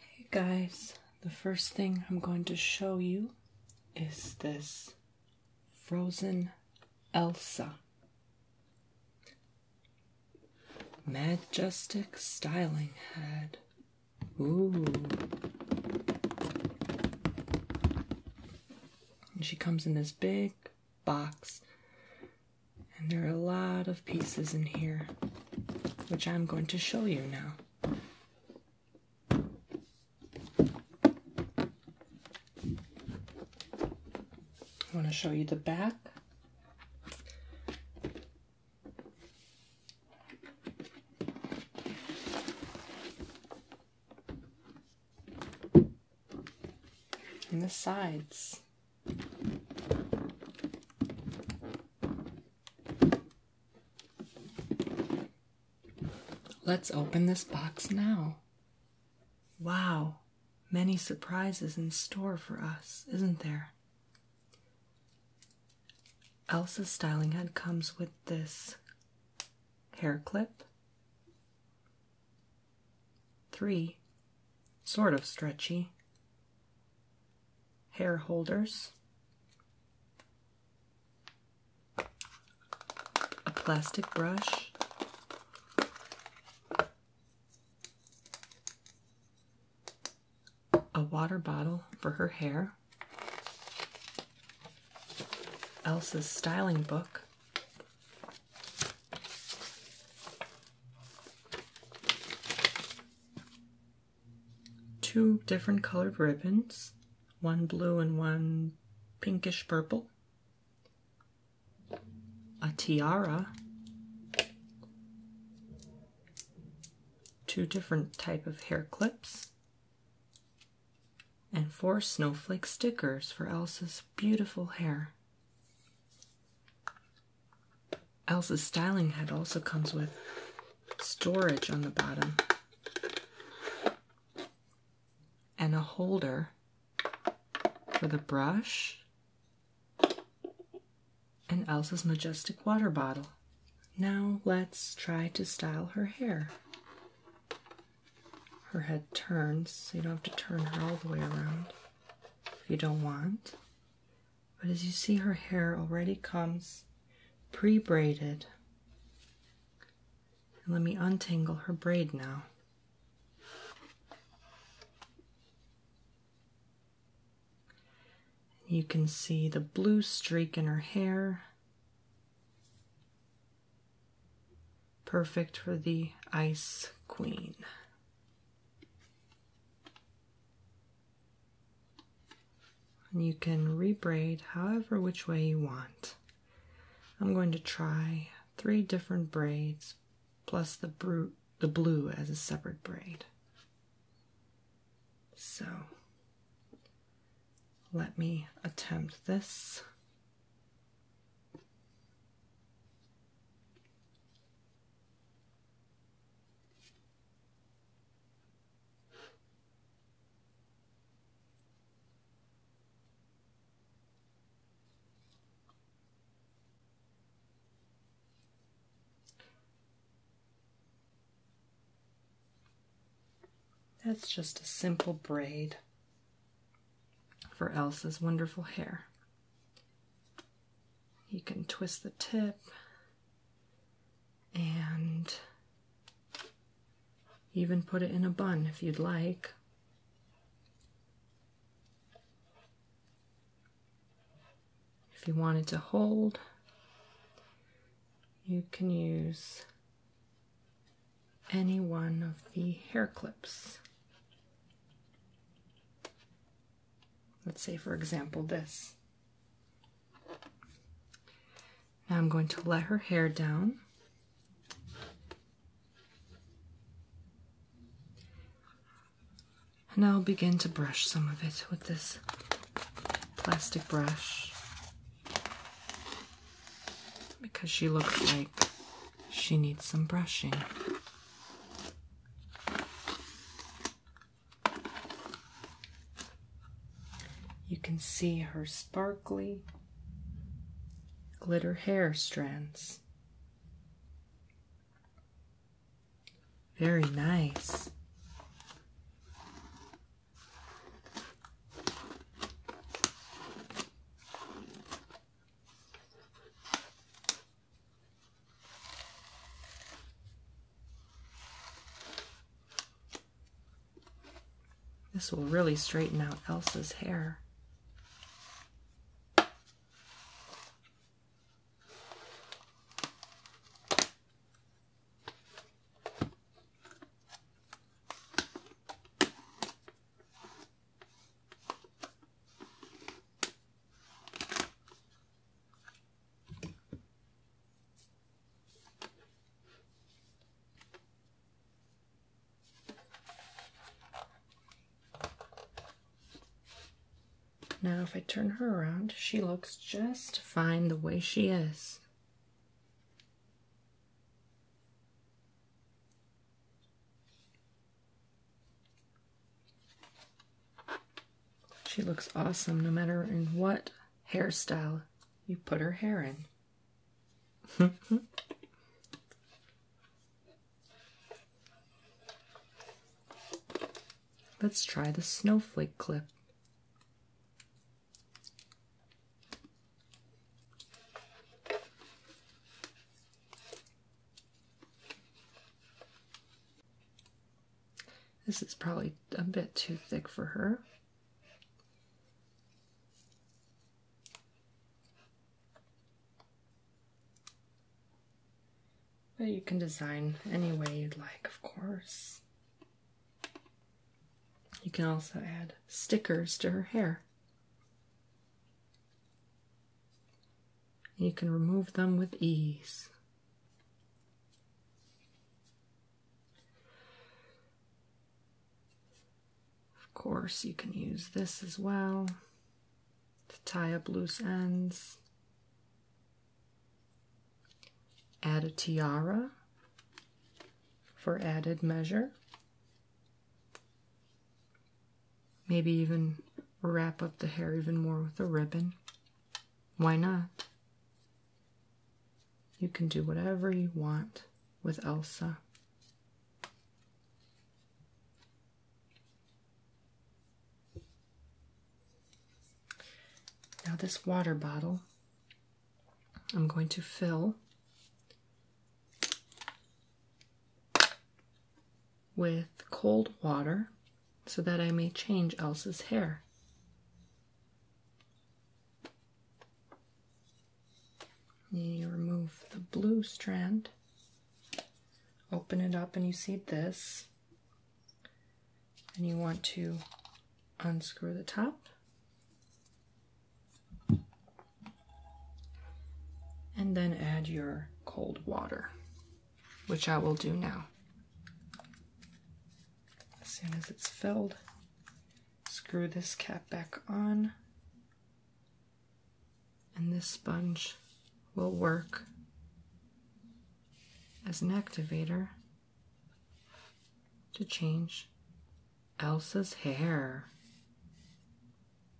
Hey guys, the first thing I'm going to show you is this frozen Elsa. Majestic styling head. Ooh. And she comes in this big box and there are a lot of pieces in here, which I'm going to show you now. I want to show you the back. And the sides. Let's open this box now. Wow, many surprises in store for us, isn't there? Elsa's styling head comes with this hair clip, Three, sort of stretchy. Hair holders. A plastic brush. A water bottle for her hair. Elsa's styling book. Two different colored ribbons, one blue and one pinkish purple, a tiara, two different type of hair clips, and four snowflake stickers for Elsa's beautiful hair. Elsa's styling head also comes with storage on the bottom and a holder for the brush and Elsa's majestic water bottle. Now let's try to style her hair. Her head turns, so you don't have to turn her all the way around. If you don't want. But as you see, her hair already comes pre braided. let me untangle her braid now. You can see the blue streak in her hair. Perfect for the Ice Queen. And you can re-braid however which way you want. I'm going to try three different braids plus the blue as a separate braid. So let me attempt this. That's just a simple braid for Elsa's wonderful hair. You can twist the tip and even put it in a bun if you'd like. If you wanted to hold, you can use any one of the hair clips. Let's say, for example, this. Now I'm going to let her hair down. And I'll begin to brush some of it with this plastic brush because she looks like she needs some brushing. You can see her sparkly glitter hair strands. Very nice. This will really straighten out Elsa's hair. Now if I turn her around, she looks just fine the way she is. She looks awesome no matter in what hairstyle you put her hair in. Let's try the snowflake clip. This is probably a bit too thick for her. But you can design any way you'd like, of course. You can also add stickers to her hair. You can remove them with ease. Of course, you can use this as well to tie up loose ends. Add a tiara for added measure. Maybe even wrap up the hair even more with a ribbon. Why not? You can do whatever you want with Elsa. Now, this water bottle I'm going to fill with cold water so that I may change Elsa's hair. You remove the blue strand, open it up, and you see this. And you want to unscrew the top and then add your cold water, which I will do now. As soon as it's filled, screw this cap back on, and this sponge will work as an activator to change Elsa's hair.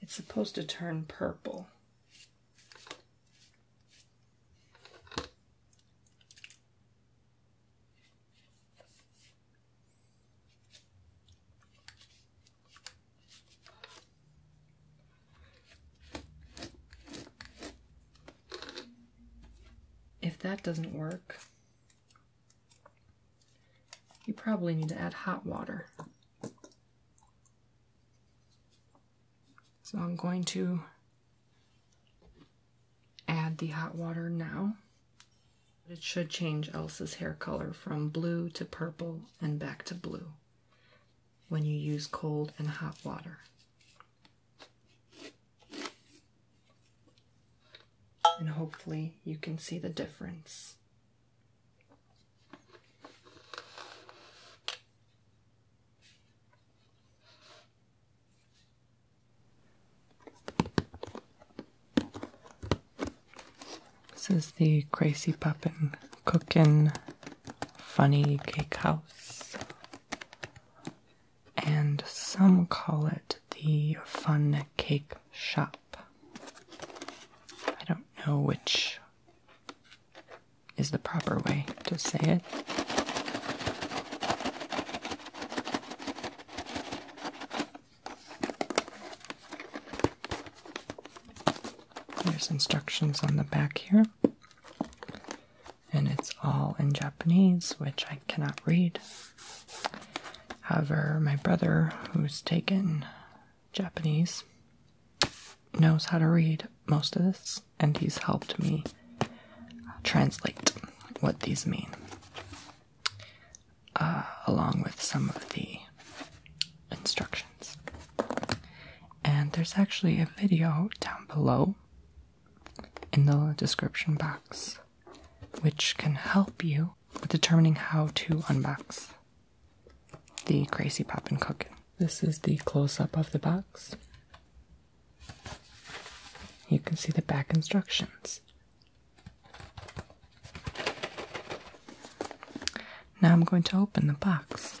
It's supposed to turn purple. If that doesn't work, you probably need to add hot water. So I'm going to add the hot water now. It should change Elsa's hair color from blue to purple and back to blue when you use cold and hot water and hopefully you can see the difference. This is the Crazy Poppin' Cookin' Funny Cake House. And some call it the Fun Cake Shop. I don't know which is the proper way to say it. There's instructions on the back here, and it's all in Japanese, which I cannot read. However, my brother, who's taken Japanese, knows how to read most of this, and he's helped me translate what these mean, uh, along with some of the instructions. And there's actually a video down below in the description box which can help you with determining how to unbox the Crazy Pop and Cook. This is the close up of the box. You can see the back instructions. Now I'm going to open the box.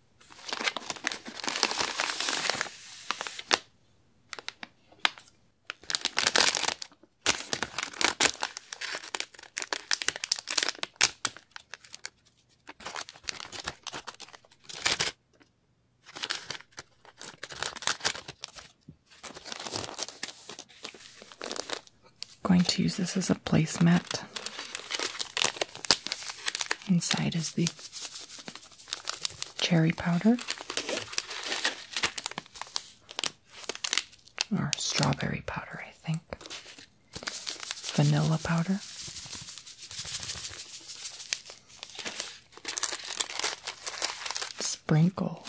Going to use this as a placemat. Inside is the cherry powder, or strawberry powder, I think, vanilla powder. Sprinkles,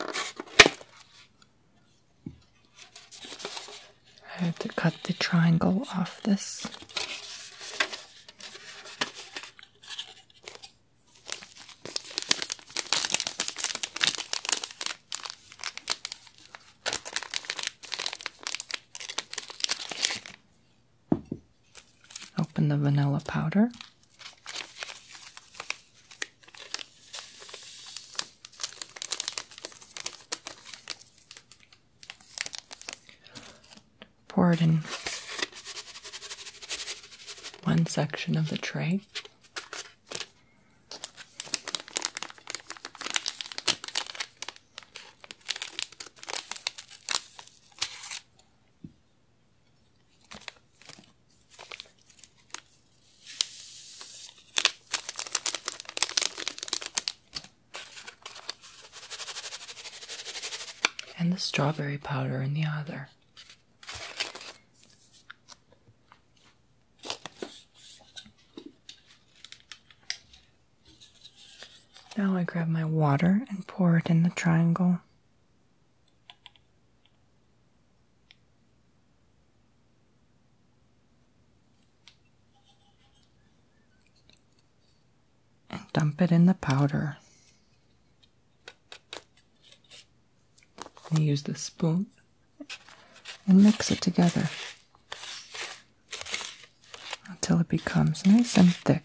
I have to cut the triangle off this. Open the vanilla powder. Pour it in one section of the tray and the strawberry powder in the other. Now I grab my water and pour it in the triangle. And Dump it in the powder. I use the spoon and mix it together until it becomes nice and thick.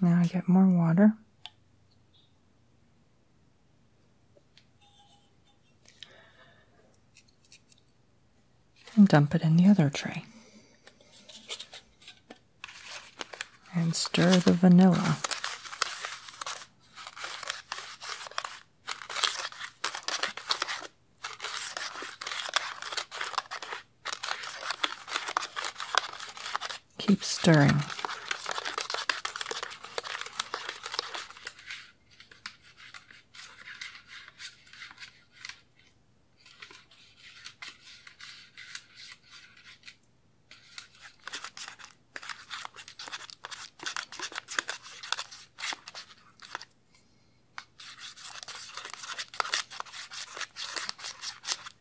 Now I get more water. And dump it in the other tray. And stir the vanilla. Keep stirring.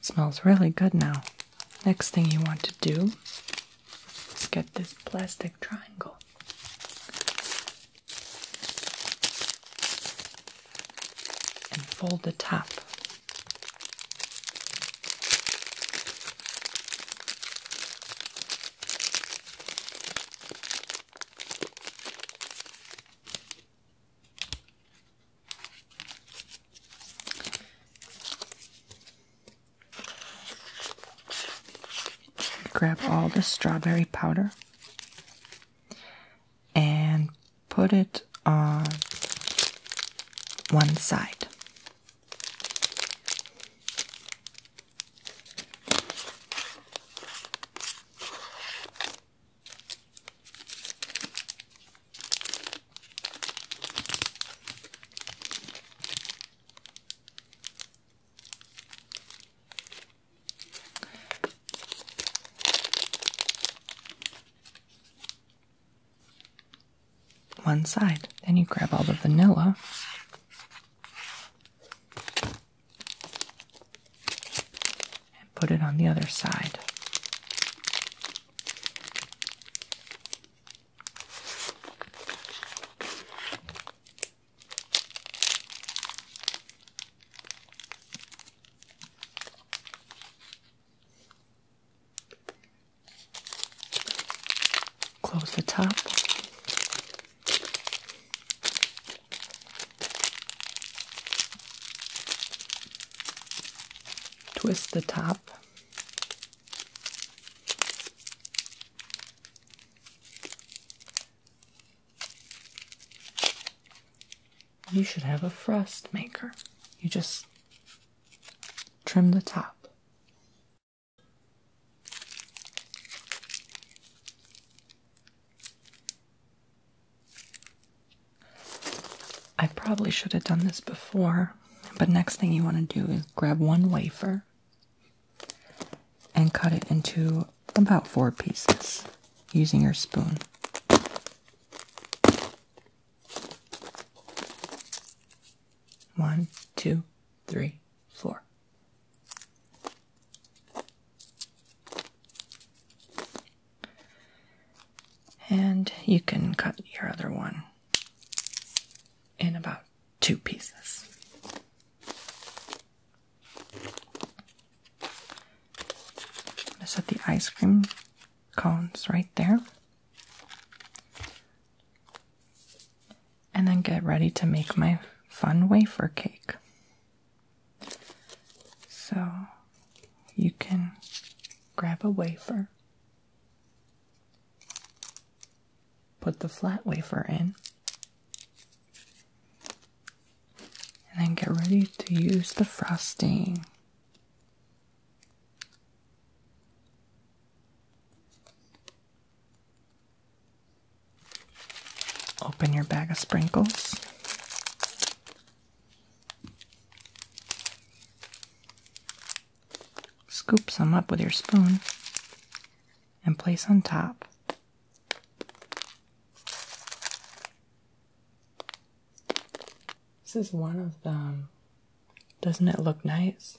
smells really good now. Next thing you want to do is get this plastic triangle. And fold the top. Grab all the strawberry powder and put it on one side. One side, then you grab all the vanilla. And put it on the other side. Close the top. Twist the top. You should have a frost maker. You just trim the top. I probably should have done this before, but next thing you want to do is grab one wafer and cut it into about four pieces using your spoon. One, two, three, four. And you can cut your other one in about two pieces. set the ice cream cones right there. And then get ready to make my fun wafer cake. So you can grab a wafer Put the flat wafer in. And then get ready to use the frosting. Open your bag of sprinkles Scoop some up with your spoon and place on top. This is one of them. Um, doesn't it look nice?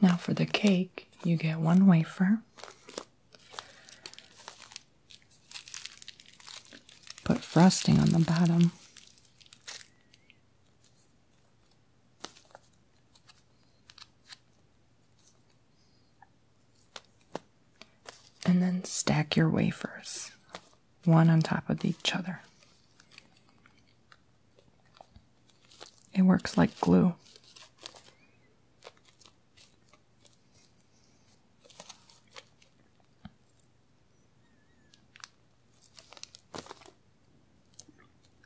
Now, for the cake, you get one wafer Put frosting on the bottom. And then stack your wafers one on top of each other. It works like glue.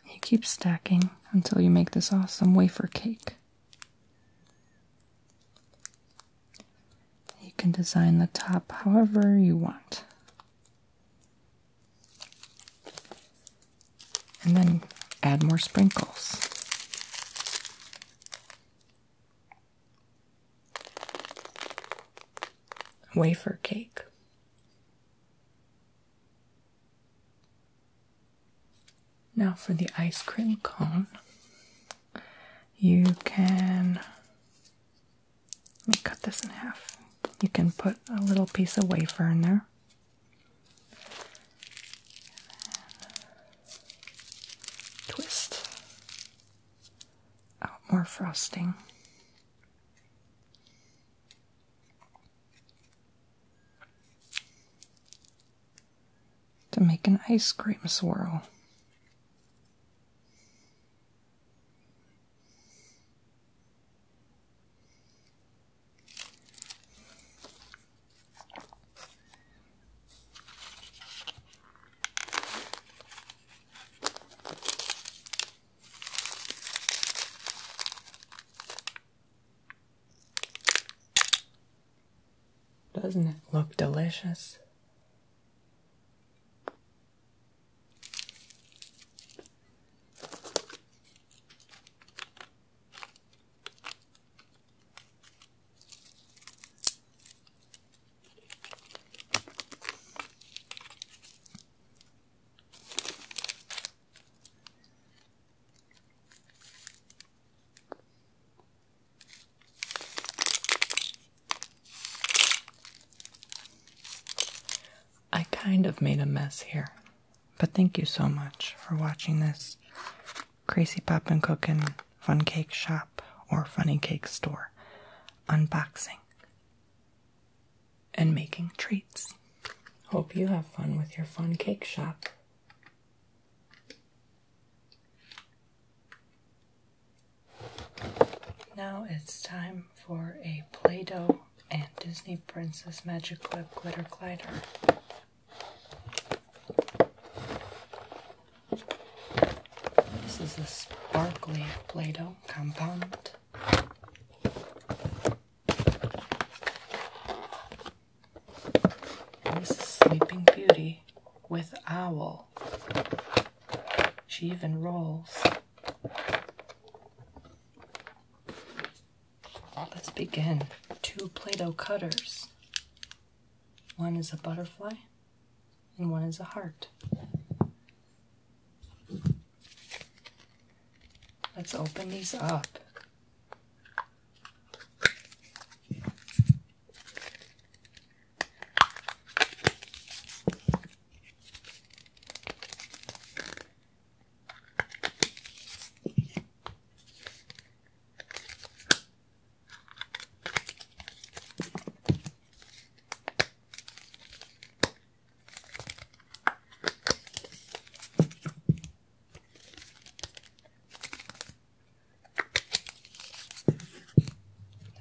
You keep stacking until you make this awesome wafer cake. You can design the top however you want and then add more sprinkles. Wafer cake. Now, for the ice cream cone, you can let me cut this in half. You can put a little piece of wafer in there, twist out oh, more frosting. To make an ice cream swirl. Doesn't it look delicious? I kind of made a mess here, but thank you so much for watching this. Crazy pop Poppin' Cookin' Fun Cake Shop or Funny Cake Store unboxing and making treats. Hope you have fun with your fun cake shop. Now it's time for a Play Doh and Disney Princess Magic Clip Glitter Glider. This is a sparkly Play Doh compound. this is Sleeping Beauty with Owl. She even rolls. Let's begin. Two Play Doh cutters. One is a butterfly, and one is a heart. Let's open these up.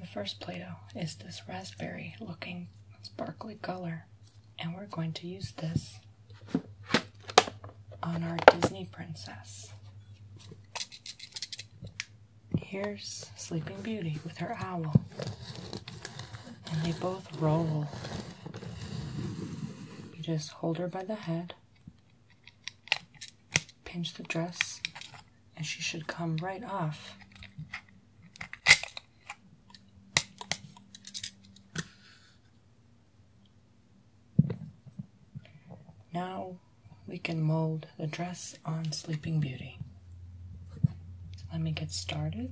The first Play-Doh is this raspberry looking sparkly color, and we're going to use this on our Disney princess. Here's Sleeping Beauty with her owl. And they both roll. You just hold her by the head, pinch the dress, and she should come right off. Now we can mold the dress on Sleeping Beauty. Let me get started.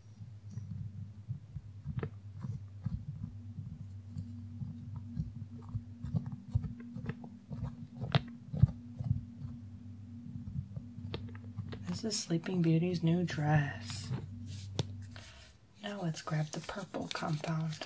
This is Sleeping Beauty's new dress. Now let's grab the purple compound.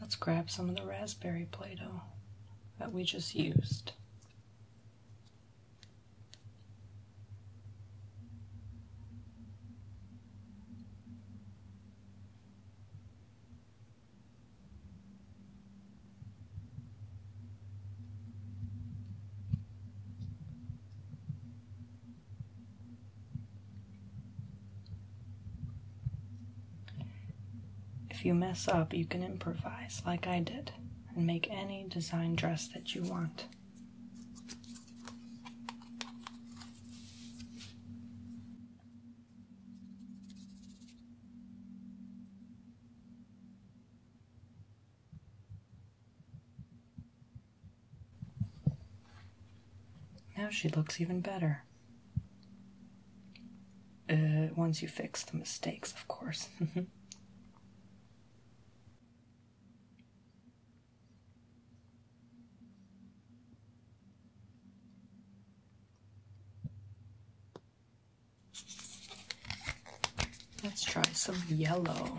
Let's grab some of the raspberry Play Doh that we just used. If you mess up, you can improvise like I did and make any design dress that you want. Now she looks even better. Uh, once you fix the mistakes, of course. Let's try some yellow.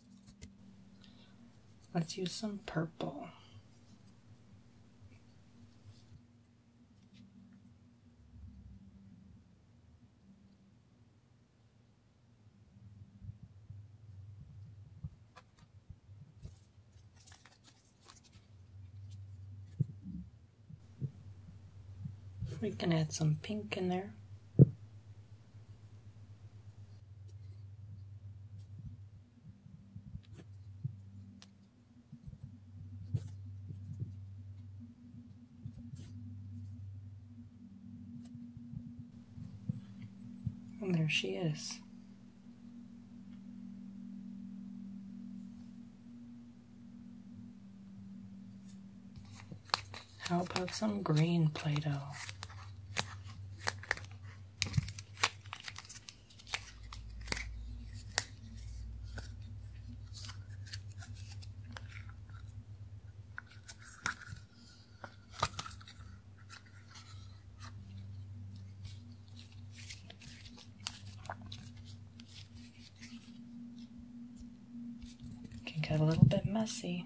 Let's use some purple. We can add some pink in there. And there she is. How about some green Play Doh? Can get a little bit messy.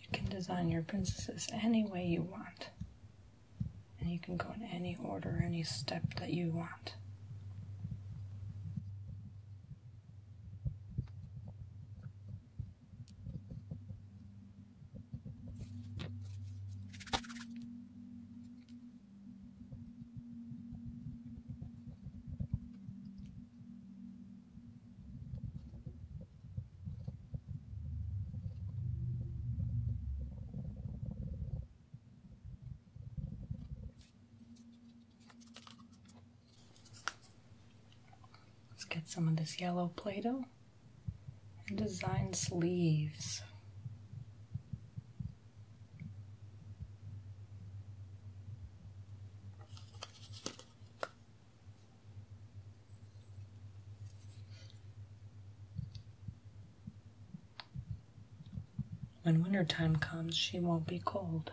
You can design your princesses any way you want. And you can go in any order, any step that you want. Let's get some of this yellow Play Doh and design sleeves. When winter time comes, she won't be cold.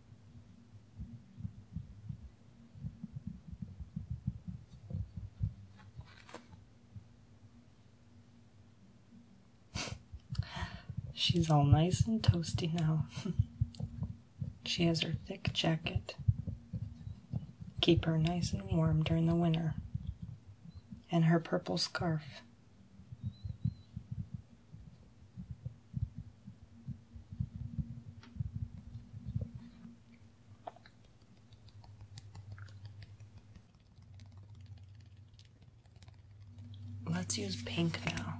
She's all nice and toasty now. she has her thick jacket. Keep her nice and warm during the winter. And her purple scarf. Let's use pink now.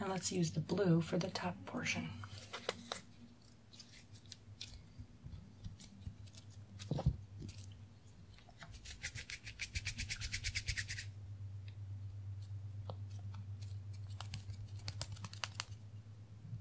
And let's use the blue for the top portion.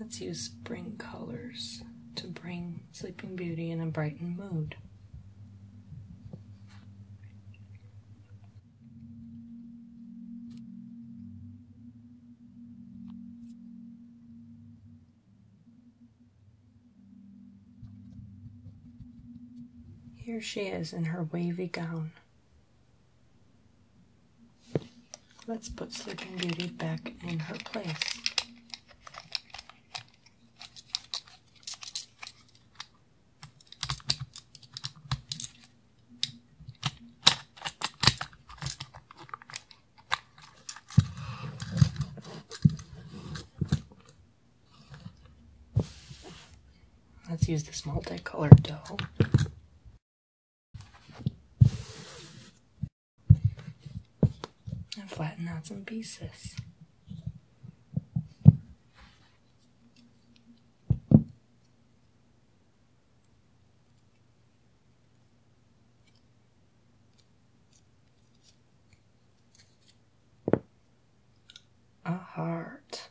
Let's use spring colors to bring Sleeping Beauty in a brightened mood. Here she is in her wavy gown. Let's put Sleeping Beauty back in her place. Let's use this multicolored dough. And flatten out some pieces a heart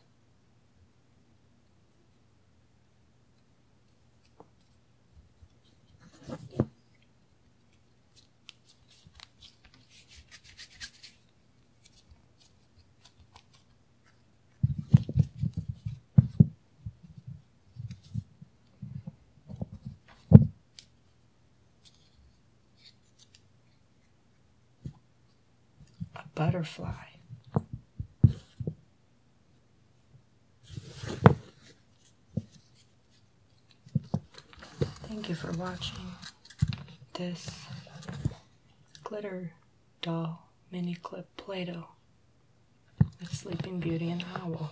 a butterfly. Thank you for watching this glitter doll mini clip Play Doh with Sleeping Beauty and Owl.